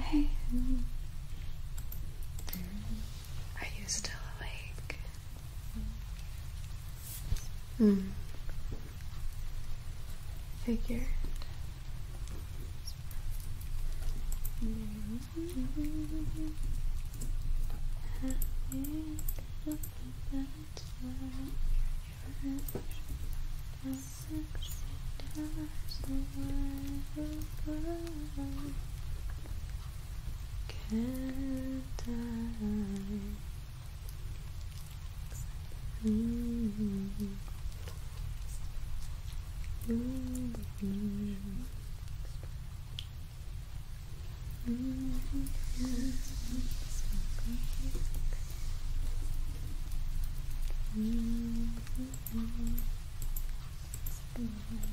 Hey, are you still awake? Hmm. Figured. Can't die.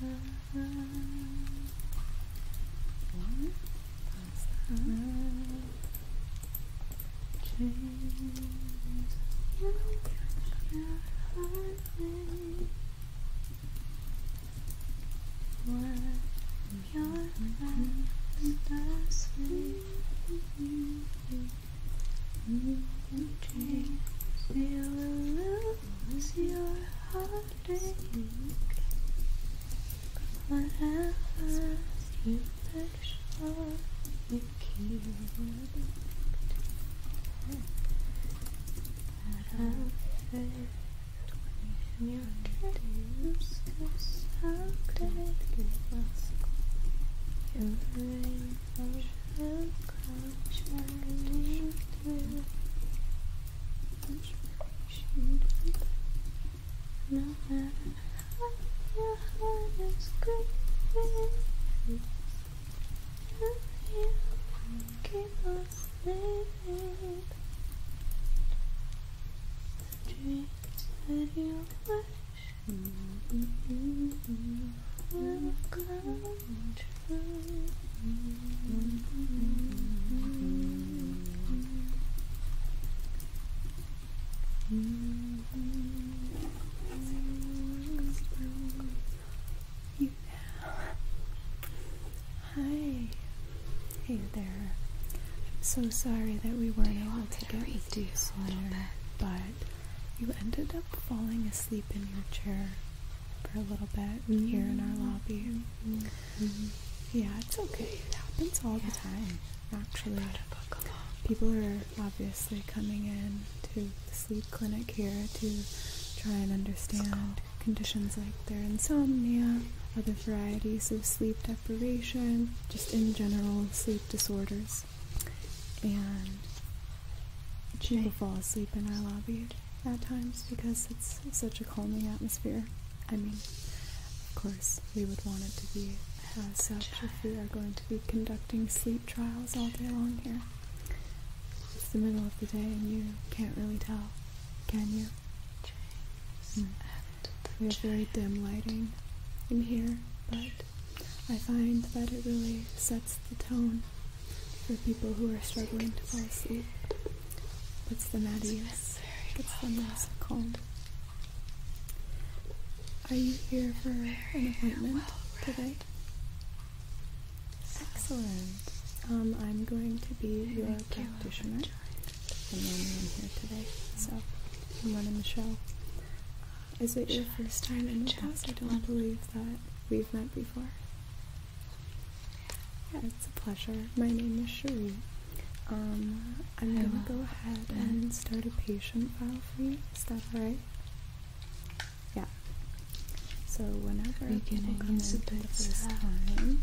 One. That's that. One. Change your highway. Let your past asleep. You can change. Was your heartache whatever you touch on you keep Out of when your dreams will someday give us your rainbow shall come shining to No matter how your heart is grieving, you keep us living. The dreams that you wish will come. You now. Hi. Hey there. I'm so sorry that we weren't able to get with you sooner, but you ended up falling asleep in your chair for a little bit here in our lobby. Yeah, it's okay. It happens all the time, actually. People are obviously coming in to the sleep clinic here to try and understand conditions like their insomnia, other varieties of sleep deprivation, just in general sleep disorders. And she fall asleep in our lobby at times because it's such a calming atmosphere. I mean, of course, we would want it to be as uh, such if we are going to be conducting sleep trials all day long here. It's the middle of the day and you can't really tell, can you? Mm. We have very dim lighting in here, but I find that it really sets the tone for people who are struggling to fall asleep. Puts them at ease, gets them less calm. Are you here for an appointment today? Excellent. Um, I'm going to be your practitioner. I'm here today, so I'm running the show. Is it your first time in with us? I don't believe that we've met before. Yeah, it's a pleasure. My name is Cherie. Um, I'm I am going to go ahead and start a patient file for you. Is that alright? Yeah. So whenever people come in for the first sad. time,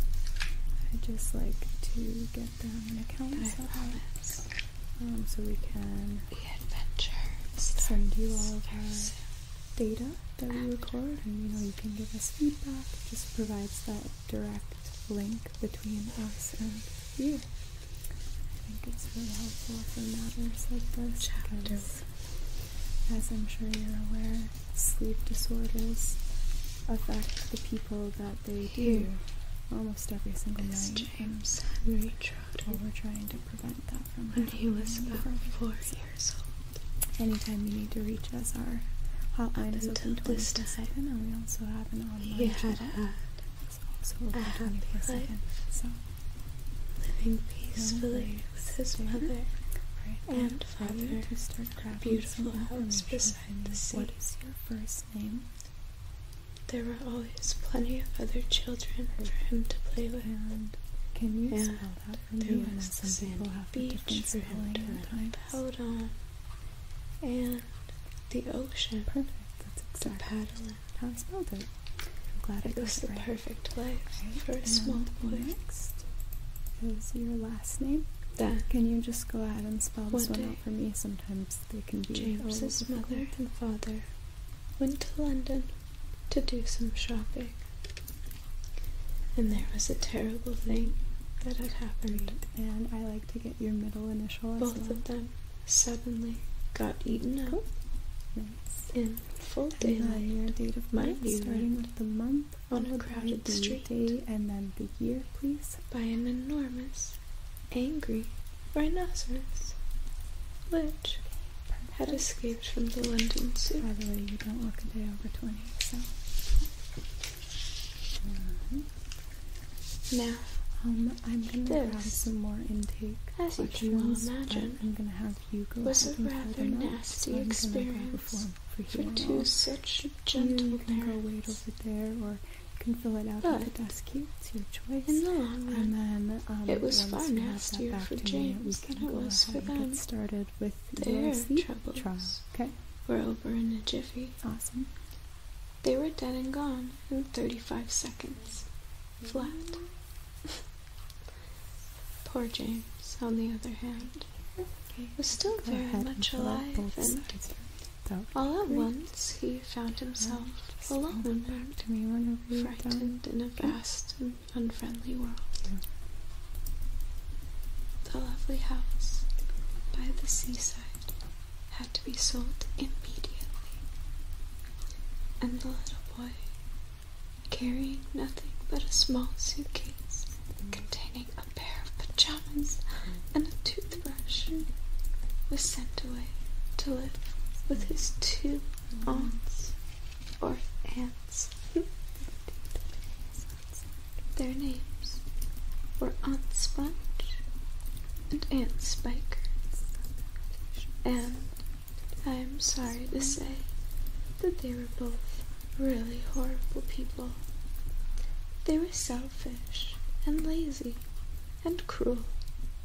I just like to get them an account um, so we can the adventure send you all of data that we record and you know you can give us feedback it just provides that direct link between us and you i think it's really helpful for matters like this as i'm sure you're aware sleep disorders affect the people that they do almost every single night and we, well, we're trying to prevent that when he was four years old. Anytime you need to reach us, our hotline is open 24/7, we also have an online he had had It's So living peacefully with his mother and father beautiful house beside the sea. What is your first name? There were always plenty of other children for him to play with. can you that for me, and a different and the ocean. Perfect. That's exactly how I spelled it. I'm glad it, was the perfect place right. for a small boy. is your last name. That. Can you just go ahead and spell this one, out for me? Sometimes they can be James's mother and father went to London to do some shopping. And there was a terrible thing that had happened. And I like to get your middle initial as Both of them suddenly got eaten up. In full daylight. And your date of birth, starting with the month on a crowded street, day, and then the year, please. By an enormous, angry rhinoceros, which, had escaped from the London Zoo. By the way, you don't look a day over 20, so. Mm-hmm. now, um, I'm going to have some more intake. As you can imagine, I'm going to have you go was a rather nasty experience for, for two such gentle you, can go wait over there, or you can fill it out but at the desk. It's your choice. and then um, it was fun last year for James worse than Get started with Their troubles trial. Okay. were over in a jiffy. Awesome. They were dead and gone in 35 seconds, flat. Poor James, on the other hand, was still very much alive, all at once he found himself alone, frightened in a vast unfriendly world. The lovely house by the seaside had to be sold immediately, and the little boy, carrying nothing but a small suitcase containing a pair of pajamas and a toothbrush, was sent away to live with his two mm-hmm. aunts or aunts their names were Aunt Sponge and Aunt Spiker. And I am sorry to say that they were both really horrible people. They were selfish and lazy and cruel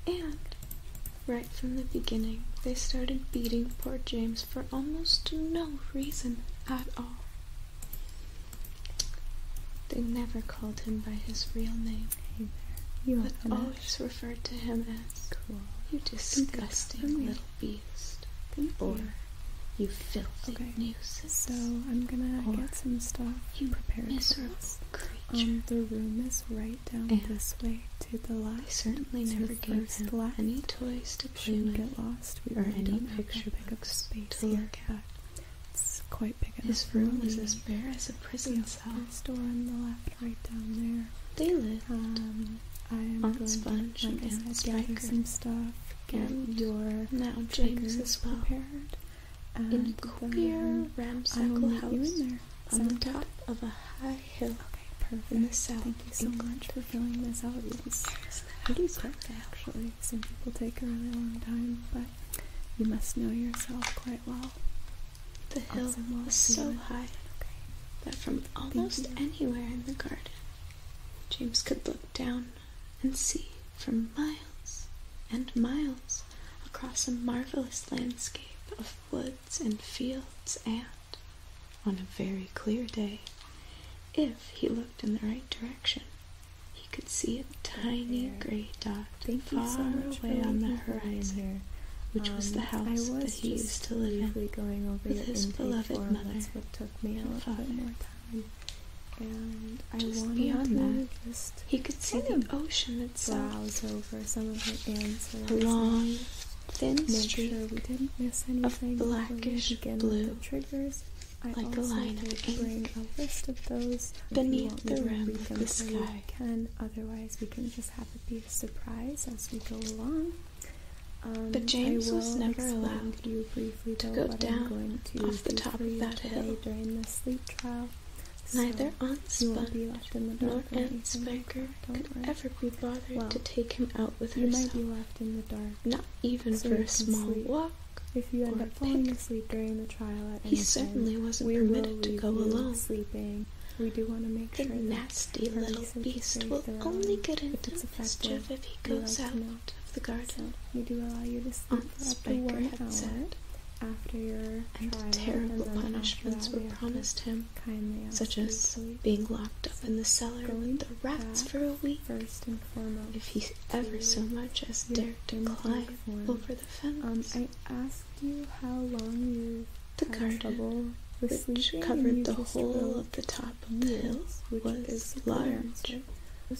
and Right from the beginning, they started beating poor James for almost no reason at all. They never called him by his real name. Hey there. but always referred to him as you disgusting little beast. or you, filthy okay. So I'm gonna get some stuff you prepare Miserable for us. Um, the room is right down this way the last I certainly never gave him any toys to play with lost. We or any picture book space look at. It's quite big enough. His room is mm. as bare as a prison the cell. Store on the left, right down there. They live. um, I am on Sponge to, like and stuff. Get your now James is prepared. And in queer ramshackle house on the top of a high hill perfect. Thank you so much for filling this out. It was pretty quick, actually. Some people take a really long time, but you must know yourself quite well. The hill was so high that from almost anywhere in the garden, James could look down and see for miles and miles across a marvelous landscape of woods and fields and on a very clear day, if he looked in the right direction, he could see a tiny gray dot Thank far so away on the horizon, which was the um, house that he used to live in going over with his beloved mother That's what took me and father. More time. And I Just beyond that, he could see the ocean that Browse over some of her answers. A thin streak sure we didn't miss anything of blackish blue, I like a line of ink, bring a list of those beneath the rim of the sky. Can otherwise we can just have it be a surprise as we go along. Um, but James was never allowed to, go down off the top of that hill. During the sleep trial, Neither Aunt Spunk nor Aunt mother could ever be bothered to take him out with you herself. might be left in the dark. Not even for a small walk. If you end up falling asleep during the trial at He certainly wasn't permitted to go alone. Sleeping. We do want to make the nasty little beast will only get into mischief if he goes out of the garden. we do allow you to sleep Aunt Spiker had said. After your and terrible punishments were promised him such as being locked up in the cellar with the rats for a week, if he ever so much as dared to climb over the um, fence. I asked you how long you the garden, which covered the whole of the top of the hill, was large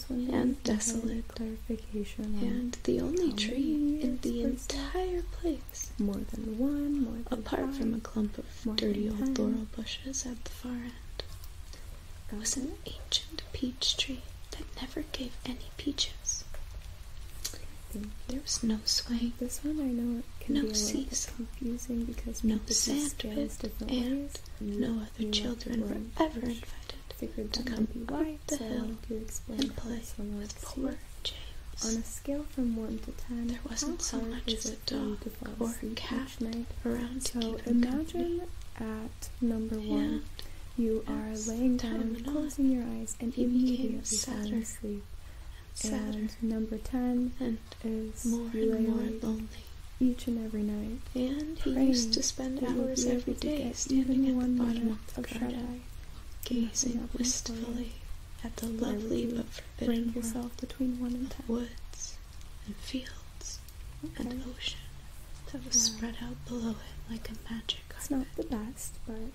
and desolate, and the only tree in the entire place more than one, Apart from a clump of dirty old ten. laurel bushes at the far end Got was an ancient peach tree that never gave any peaches. There was no swing. This one I know it can no be a season. confusing because no sand pit and ways. no mm, other children were ever invited to come up the hill and play with poor on a scale from one to ten, there wasn't so much as a dog or cat around to So imagine at number one, you are laying down, closing your eyes, and even immediately falling asleep. And number ten and is more you and more lonely each and every night. And he used to spend hours every day standing at one bottom of the garden, gazing wistfully at the lovely but Bring yourself between one and ten. Woods and fields and ocean that was spread out below it like a magic carpet. It's not the best, but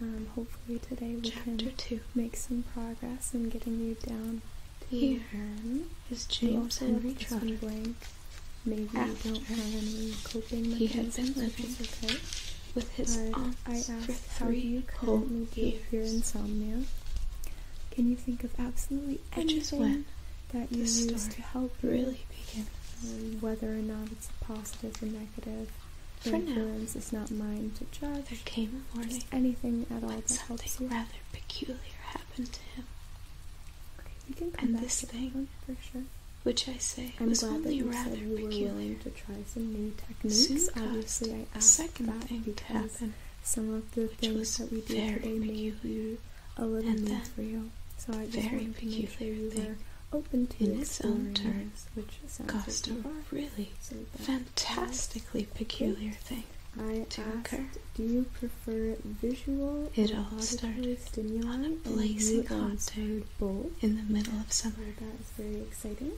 um, hopefully today we Chapter can two. make some progress in getting you down to Here Aaron. is James Henry Trotter. Blank. Maybe After don't have any coping He had been living with his but aunt's three whole years. Your insomnia. Can you think of absolutely anything that you use to help really begin? Um, whether or not it's positive or negative. For influence now, is not mine to judge. There came a morning. anything at all something rather peculiar happened to him. and this thing, for sure. Which I say I'm was only rather peculiar to try some new techniques. Obviously, I second that thing because happen, some of the things that we do today may be a little new for you. So I just wanted to make sure you open to in its own turn, which caused a really fantastically peculiar thing. to occur. do you prefer visual it all started stimuli on a blazing hot day in the middle of summer was very exciting.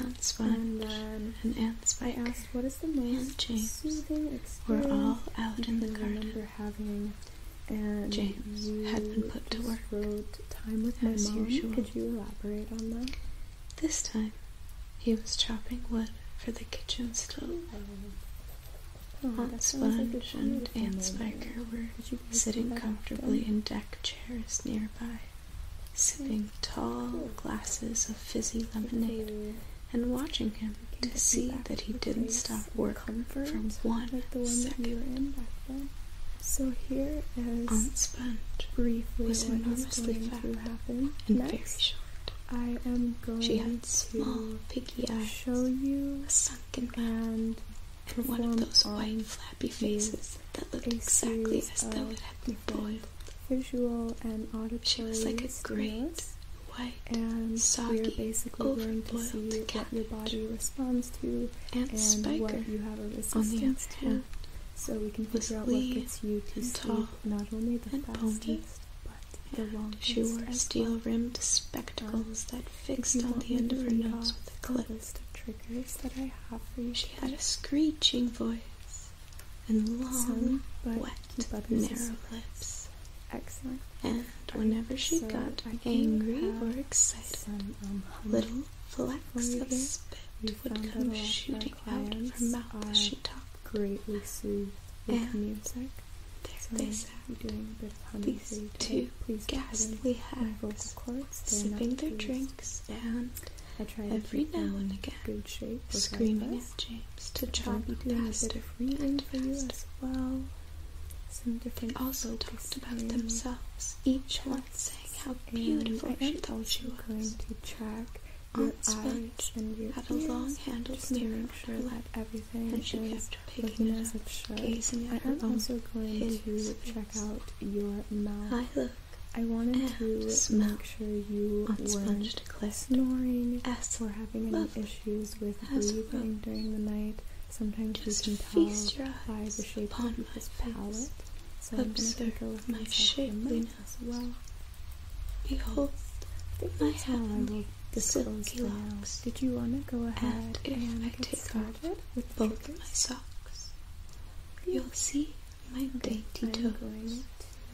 Ants watch and, um, and asked, "What is the name? James soothing experience?" We're all out in the garden. having, and James had been put to work. time with as my mom. Could you elaborate on that? This time, he was chopping wood for the kitchen stove. Oh, oh Aunt Sponge and Aunt Spiker were sitting comfortably in deck chairs nearby sipping tall glasses of fizzy lemonade and watching him to see that he didn't stop working for one one second. So here is Aunt briefly was what enormously is going to and very short. I am going she had small piggy eyes, show you a sunken hand, and, one of those white flappy faces that look exactly as though it had been boiled visual and auditory she was great white and soggy, we're basically going to see what your body responds to and, and what you have a resistance to. Hand, so we can figure out what gets you to sleep not only the fastest but the longest. She wore steel-rimmed spectacles um, that fixed on the end of her nose with a clip. List of triggers that I have for you. She had a screeching voice and long, Some, wet, narrow lips. Excellent. And whenever she got angry or excited, um, little flecks of spit would come shooting out of her mouth as she talked. Greatly soothed with music. There so they sat, doing a bit of these two Please ghastly hacks, sipping their drinks and I try every now and again, good shape screaming at James to chop up faster and faster. As well. Some different they also talked about themselves, each one saying how beautiful and she thought she was. Going to track Aunt Sponge had a long-handled mirror sure that everything and she kept picking it up, it gazing at her I'm also going to check out your mouth. I I wanted to make sure you weren't snoring As or having any issues with breathing during the night. Sometimes Just you can tell by the shape of my palate. So Observe I'm with my shapeliness as well. Behold my the silky locks. Did you want to go ahead and, and I with both my socks? You'll see my okay, dainty toes. Going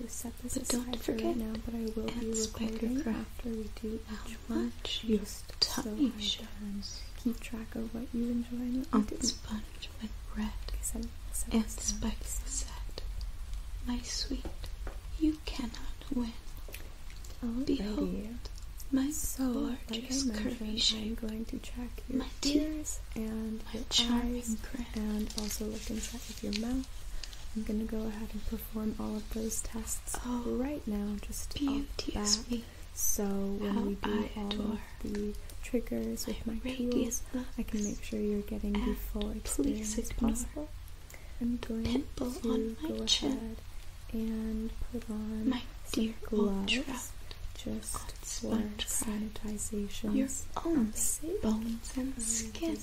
to set this but don't forget, right now, but I will at Spidercraft, after we do how one. much your tummy so shows. Keep track of what you enjoy and what On you sponge with bread seven, seven, and spice set. My sweet, you cannot win. Oh, Behold, baby. my so, gorgeous like curvy shape, I'm going to track your my tears and my charming eyes and also look inside of your mouth. I'm going to go ahead and perform all of those tests oh, right now, just beauteous me. So when we do all of the triggers with my, my tools, I can make sure you're getting the full experience possible. I'm going to go chin. ahead and put on my some gloves forest sanitization, your own bones and skin.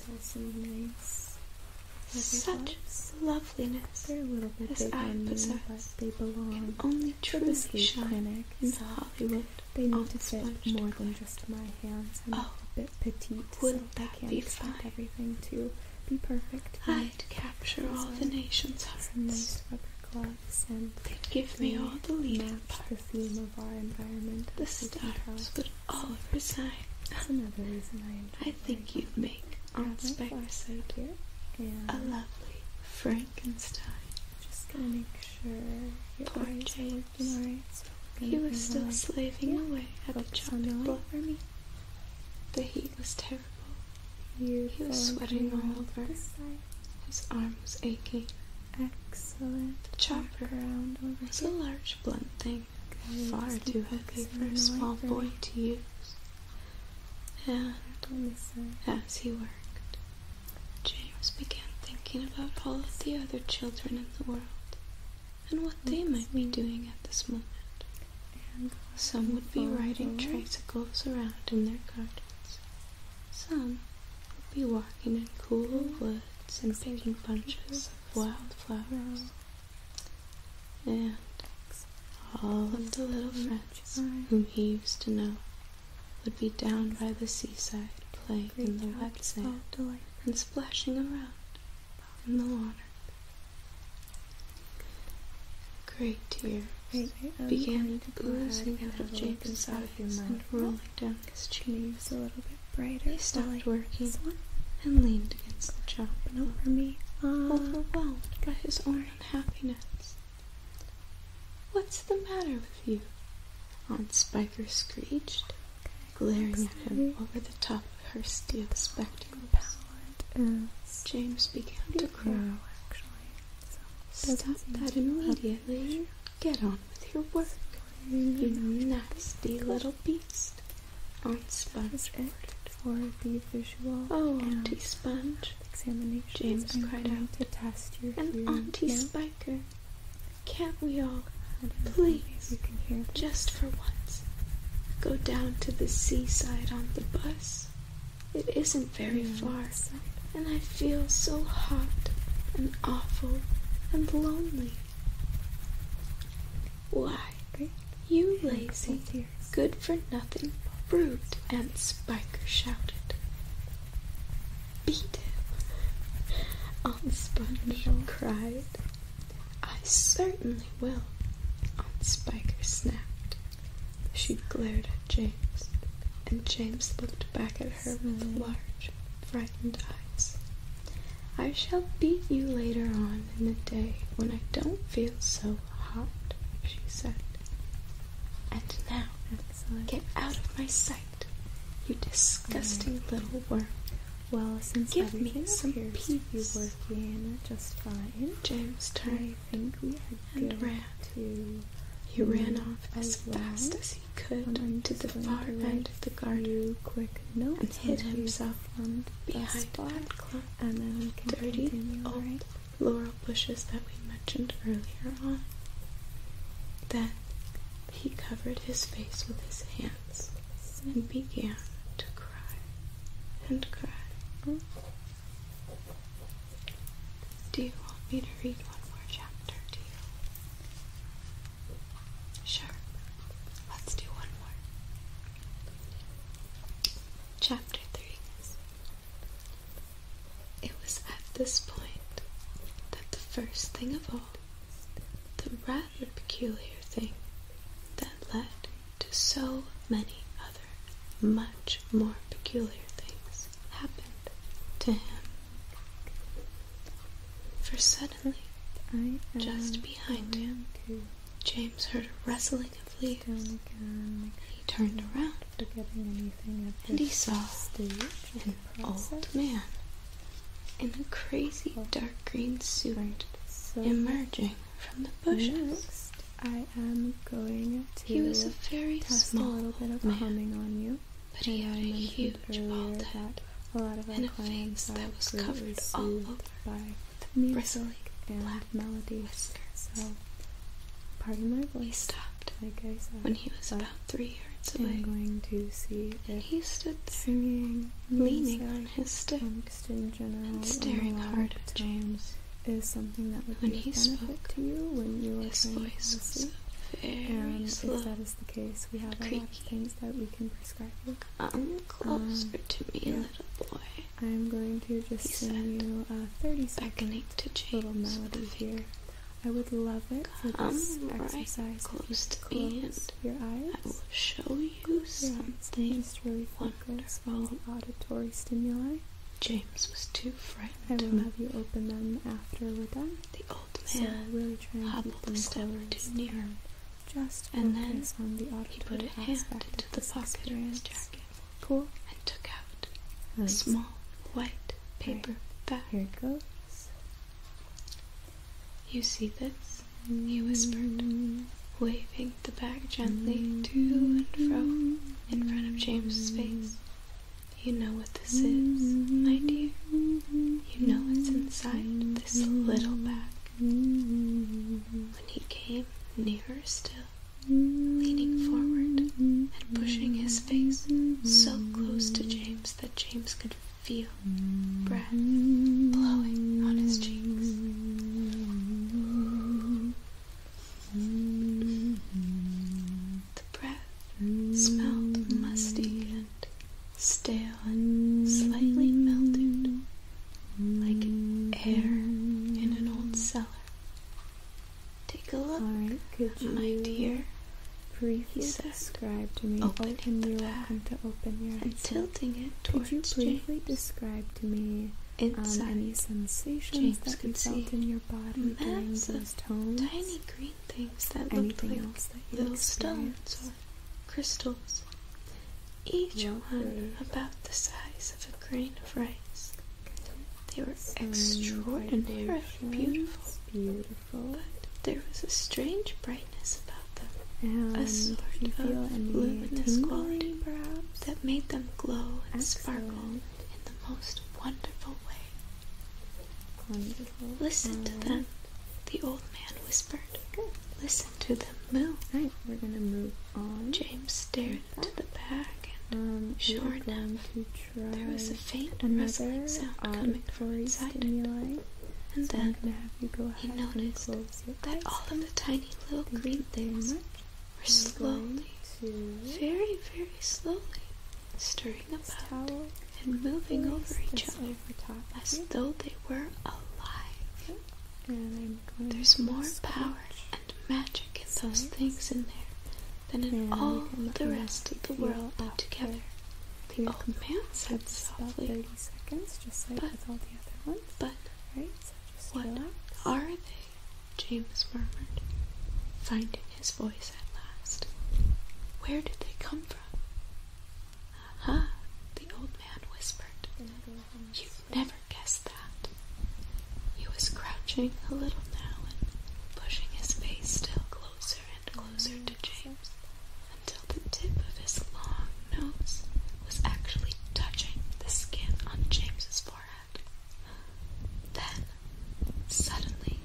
Such loveliness as I possess they belong. can only truly shine in Hollywood. They need to fit more than just my hands. I'm oh, a bit petite, so I can't expect everything to be perfect. I'd capture all the nation's hearts. Nice rubber They'd give me all the leading match the of our environment. The stars would all resign. That's another reason I I think you'd make Aunt Spectre here. a lovely Frankenstein. just gonna make sure your Poor eyes James. he was still slaving away at the job. block for me. The heat was terrible. he was sweating all over. His arm was aching. Excellent. Chop around over It's a large blunt thing. Far too heavy for a small boy to use. And as he worked, James began thinking about all of the other children in the world and what they might be doing at this moment. Some would be riding tricycles around in their gardens. Some would be walking in cool woods and picking bunches of wild flowers, And all of the little friends whom he used to know would be down by the seaside playing in the wet sand and splashing around in the water. A great tears oh, began oozing out of Jacob's eyes and rolling down his chin was a little bit brighter. He stopped working one and leaned against the chop and over me, uh, overwhelmed by his own unhappiness. What's the matter with you? Aunt Spiker screeched, glaring at him over the top of her steel spectrum palette. James began to cry. Actually, so Stop that immediately. Get on with your work, you nasty little beast. Aunt Sponge. For the visual oh, Auntie Sponge, examination. James I'm cried out to test your and Auntie now. Spiker. Can't we all, please, just for once, go down to the seaside on the bus? It isn't very yeah, far and I feel so hot and awful and lonely. Why, you lazy, good for nothing brute, Aunt Spiker shouted. Beat him, Aunt Sponge cried. I certainly will, Aunt Spiker snapped. She glared James, and James looked back at her with large, frightened eyes. I shall beat you later on in the day when I don't feel so hot, she said. And now, get out of my sight, you disgusting little worm. Well, since Give me some peace. You were in just fine. James turned I think and ran. he ran off as, as fast well. as as he could onto the far end of the garden. Quick note and hid himself on behind that clump and then dirty old laurel bushes that we mentioned earlier on. Then he covered his face with his hands and began to cry and cry. Do you want me to read one chapter to Sure. Let's do one more. Chapter 3 It was at this point that the first thing of all, the rather peculiar thing that led to so many other much more peculiar things happened to him. For suddenly, just behind him, James heard a rustling of leaves. He turned around and he saw an old man in a crazy oh. dark green suit emerging from the bushes. I am going to he was a very small little bit of man. on you but he had a huge bald head a lot of and a face that was covered all over with bristly black melody whiskers. Part of my voice. stopped I said, when he was about three years away. he stood singing, leaning on his stick staring hard at James. Is something that would when be a spoke, to you when you are his voice and um, If that is the case, we have Creaky. a lot of things that we can prescribe you. Come closer um, to me, little boy. I'm going to just he send you a 30 second to little melody here. I would love it for this exercise. close your eyes. I will show you yeah, something just really focus wonderful. On auditory stimuli. James was too frightened. I will have you open them after we're done so really hobbled a step or two nearer, just and then he put it hand into the pocket of his jacket cool. and took out a small white paper bag. Here it goes. You see this? he whispered, waving the bag gently to and fro in front of James's face. You know what this is, my dear. You know what's inside this little bag. When he came nearer still, leaning forward and pushing his face so close to James that James could feel breath blowing on his cheeks. The breath smelled musty and stale and slightly melted, like air in an old cellar. Take a look, right, could my dear. Please subscribe to me open your and tilting it towards Could you briefly describe to me um, any sensations that you felt in your body during this tone? Tiny green things that looked like little stones or crystals, each one about the size of a grain of rice. They were extraordinarily beautiful, but there was a strange brightness about them, a sort of luminous quality perhaps? that made them glow and sparkle in the most wonderful way. Listen to them, the old man whispered. Listen to them move. Right, we're gonna move on. James stared into the back. and um, sure enough, to try there was a faint rustling sound coming from inside stimuli. And then he noticed that all of the tiny little green things were slowly, very, very slowly stirring about and moving over each other as though they were alive. There's more power and magic in those things in there than in all the rest of the world put together. Oh, the old man said softly, but, but what are they? James murmured. Find it his voice at last. Where did they come from? Aha, the old man whispered. You never guessed that. He was crouching a little now and pushing his face still closer and closer to James until the tip of his long nose was actually touching the skin on James's forehead. Then Suddenly,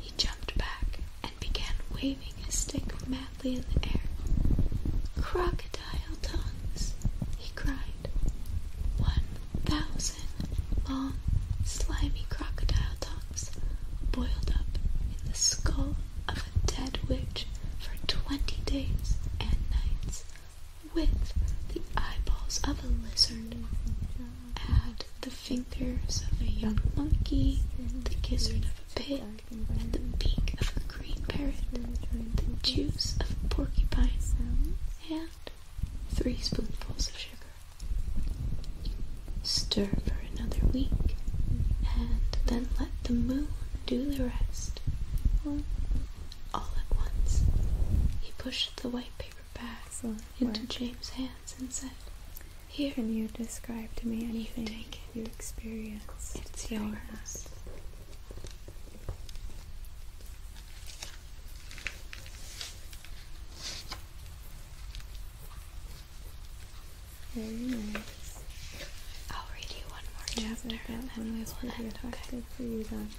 he jumped back and began waving his stick madly in the air. Crocodile tongues, he cried. One thousand long, slimy crocodile tongues boiled up in the skull of a dead witch for twenty days and nights with the eyeballs of a lizard add the fingers of a young monkey, the gizzard of a pig, and the beak of a green parrot, the juice of a porcupine, and three spoonfuls of sugar. Stir for another week, and then let the moon do the rest. All at once, he pushed the white paper bag into James' hands and said, can you describe to me anything you, you experience? It's yours. Very nice. I'll read you one more chapter. I that one okay.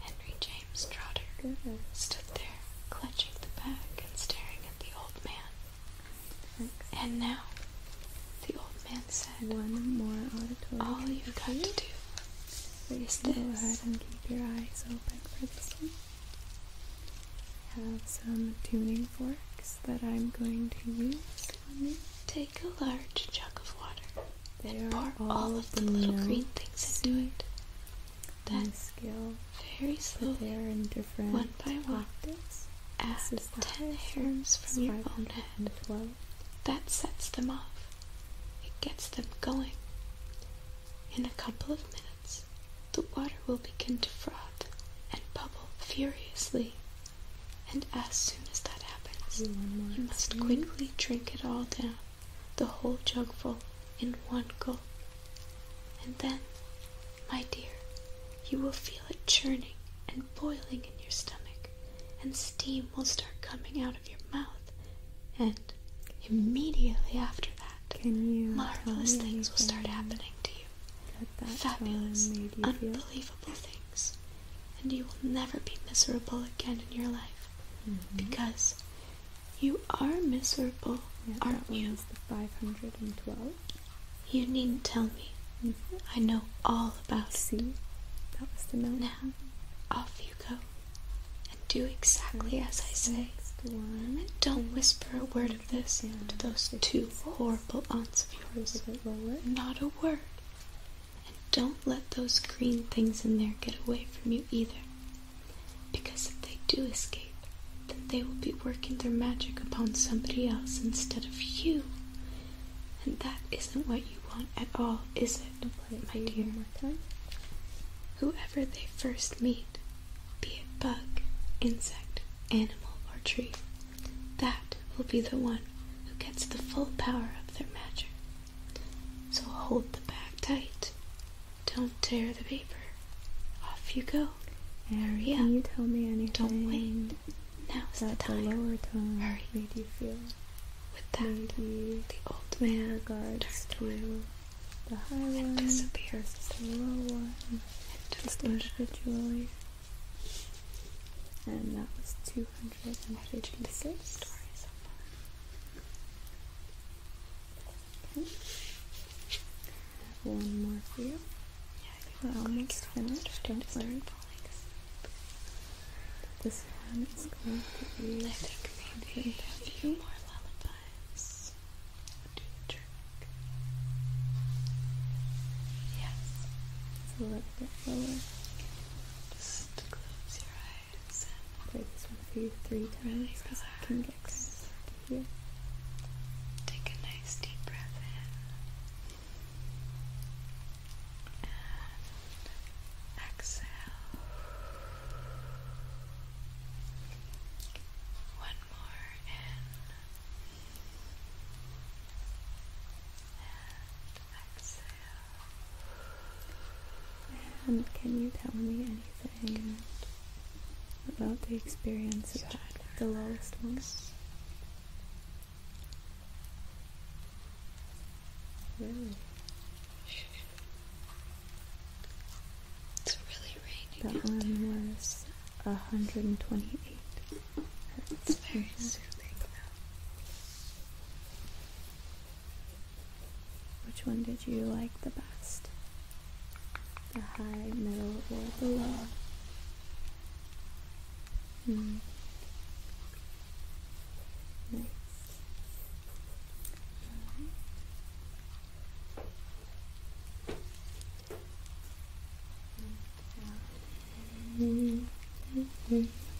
Henry James Trotter mm-hmm. stood there, clutching the bag and staring at the old man. And now, the old man said, One more auditory All you've got to do is this. Go ahead and keep your eyes open for this one. I have some tuning forks that I'm going to use on you. Take a large jug of water then pour all of the little green things into it. Then very slowly, one by one, add ten hairs from your own head. That sets them off. It gets them going. In a couple of minutes, the water will begin to froth and bubble furiously. And as soon as that happens, you must quickly drink it all down the whole jugful in one gulp. And then, my dear, you will feel it churning and boiling in your stomach, and steam will start coming out of your mouth. And immediately after that, marvelous things will start happening to you. Fabulous, unbelievable things. And you will never be miserable again in your life mm-hmm. because you are miserable, yeah, aren't that you? The 512. You needn't tell me. Mm-hmm. I know all about See? it. That was the number. Now, off you go. And do exactly as I say. and don't whisper a word of this to those two horrible aunts of yours. Not a word. And don't let those green things in there get away from you either. Because if they do escape, then they will be working their magic upon somebody else instead of you. And that isn't what you want at all, is it, okay, my dear? One Whoever they first meet, be it bug, insect, animal, or tree, that will be the one who gets the full power of their magic. So hold the bag tight. Don't tear the paper. Off you go. Hurry Can up. you tell me anything? Don't wait. Now's that the time. The lower tongue Hurry. made you feel. With that, Maybe the old man regards to the high one, disappears the low one, just individually. And that was 256 stories so far. One more for you. Yeah, we almost finished. Don't worry. This one is going to be. I think maybe a few more lullabies would do the trick. Yes. a little bit lower. Just close your eyes play this one for you three times because I can get Take a nice deep breath in and exhale. One more in and exhale can you tell me anything about the experience you had with the lowest one? Really? It's really raining. That one was 128 hertz. It's very mm-hmm. soothing. Which one did you like the best? The high, middle, or the low? Mm. Nice. Alright. Mm -hmm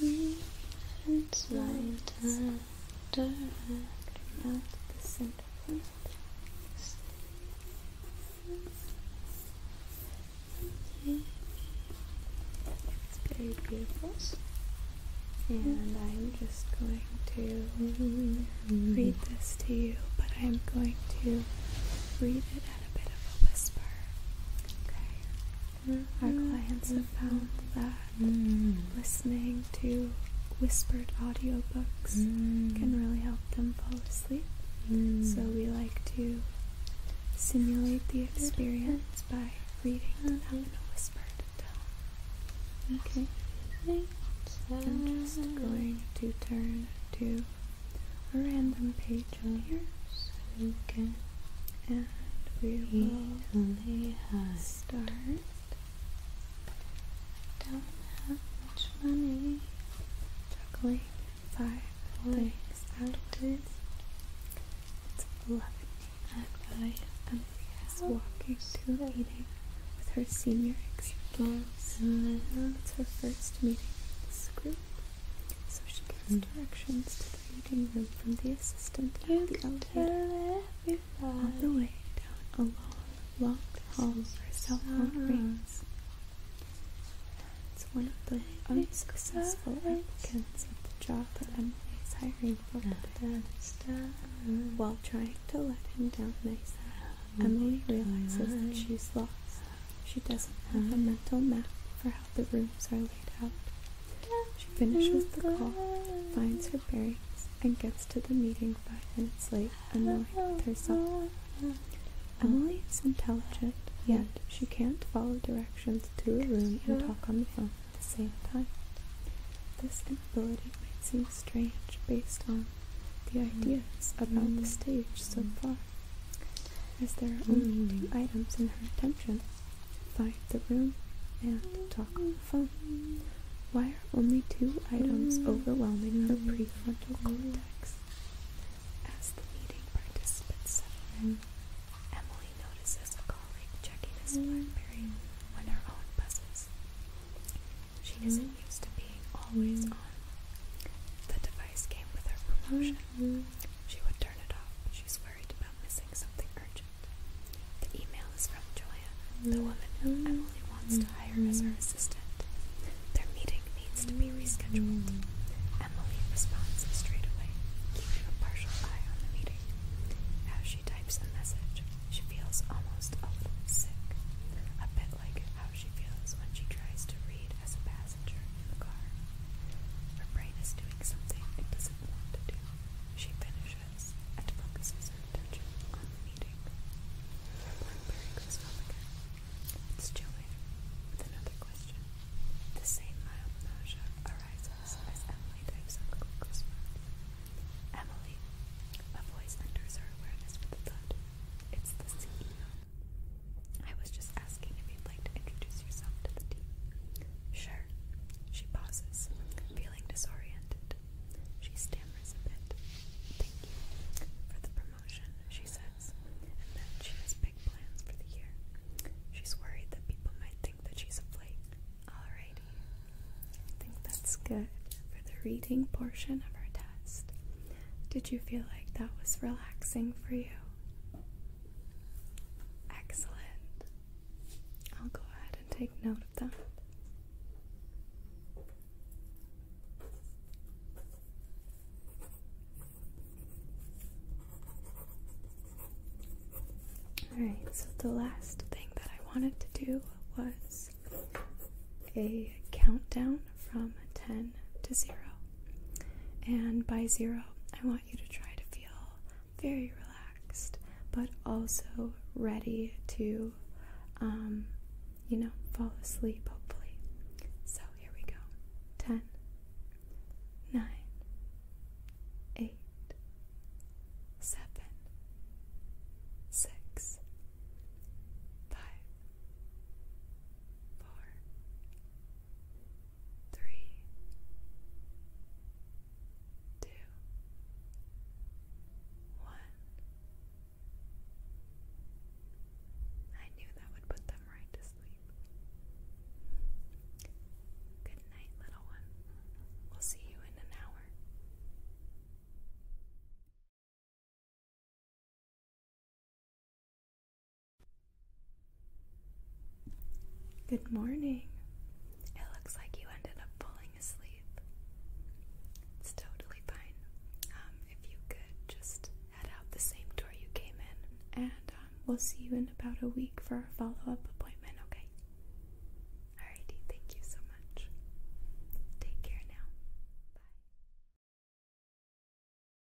and slide under the center It's very beautiful. And I'm just going to read this to you, but I'm going to read it at a bit of a whisper. Our clients have found that listening to whispered audiobooks can really help them fall asleep. So we like to simulate the experience by reading in a whispered tone. Okay. I'm just going to turn to a random page on here so we can and we will start. Don't have much money. Juggling five things out of this. It's lovely. And I am walking to a meeting with her senior executives. It's her first meeting with this group. So she gives directions to the reading room from the assistant. You the tell everybody. On the way down a long, locked hall where cell phone ah. rings. It's one of the unsuccessful applicants at the job that Emily is hiring for ah. While trying to let him down nice, ah. Emily realizes that she's lost. She doesn't have a mental map for how the rooms are she finishes the call, finds her bearings, and gets to the meeting five minutes late, annoyed with herself. Emily is intelligent, yet she can't follow directions to a room and talk on the phone at the same time. This inability might seem strange based on the ideas about the stage so far, as there are only two items in her attention Find the room and talk on the phone. Why are only two items overwhelming the prefrontal cortex? As the meeting participants settle in, Emily notices a colleague checking his Blackberry when her own buzzes. She isn't used to being always on. The device came with her promotion. She would turn it off, She's swears worried about missing something urgent. The email is from Joanna, the mm. woman whom Emily wants to hire as her mm. assistant. Their meeting needs to be rescheduled. Mm. Emily responds straight away, keeping a partial eye on the meeting. As she types the message, she feels almost a little sick, a bit like how she feels when she tries to read as a passenger in the car. Her brain is doing something it doesn't want to do. She finishes and focuses her attention on eating. Her blackberry goes off again. It's Joanne with another question. The same mild nausea arises as Emily dives on Glucose Emily, a voice enters her awareness with a thud. It's the CEO. I was just asking if you introduce yourself to the team? Sure. She pauses, feeling disoriented. She stammers a bit. Thank you for the promotion, she says, and then she has big plans for the year. She's worried that people might think that she's a flake. Alrighty. I think that's good for the reading portion of our test. Did you feel like that was relaxing for you? Excellent. I'll go ahead and take note of that. Alright, so the last thing that I wanted to do was a countdown from 10 to 0. And by 0, I want you to try to feel very relaxed, but also ready to, um, you know, fall asleep hopefully. So here we go 10, 9, 8, 7, 6, three, two, one. I knew that would put them right to sleep. Good night, little one. We'll see you in an hour. Good morning. It looks like you ended up falling asleep. It's totally fine. Um, if you could just head out the same door you came in, and um, we'll see you in about a week for a follow up appointment, okay? Alrighty, thank you so much. Take care now. Bye.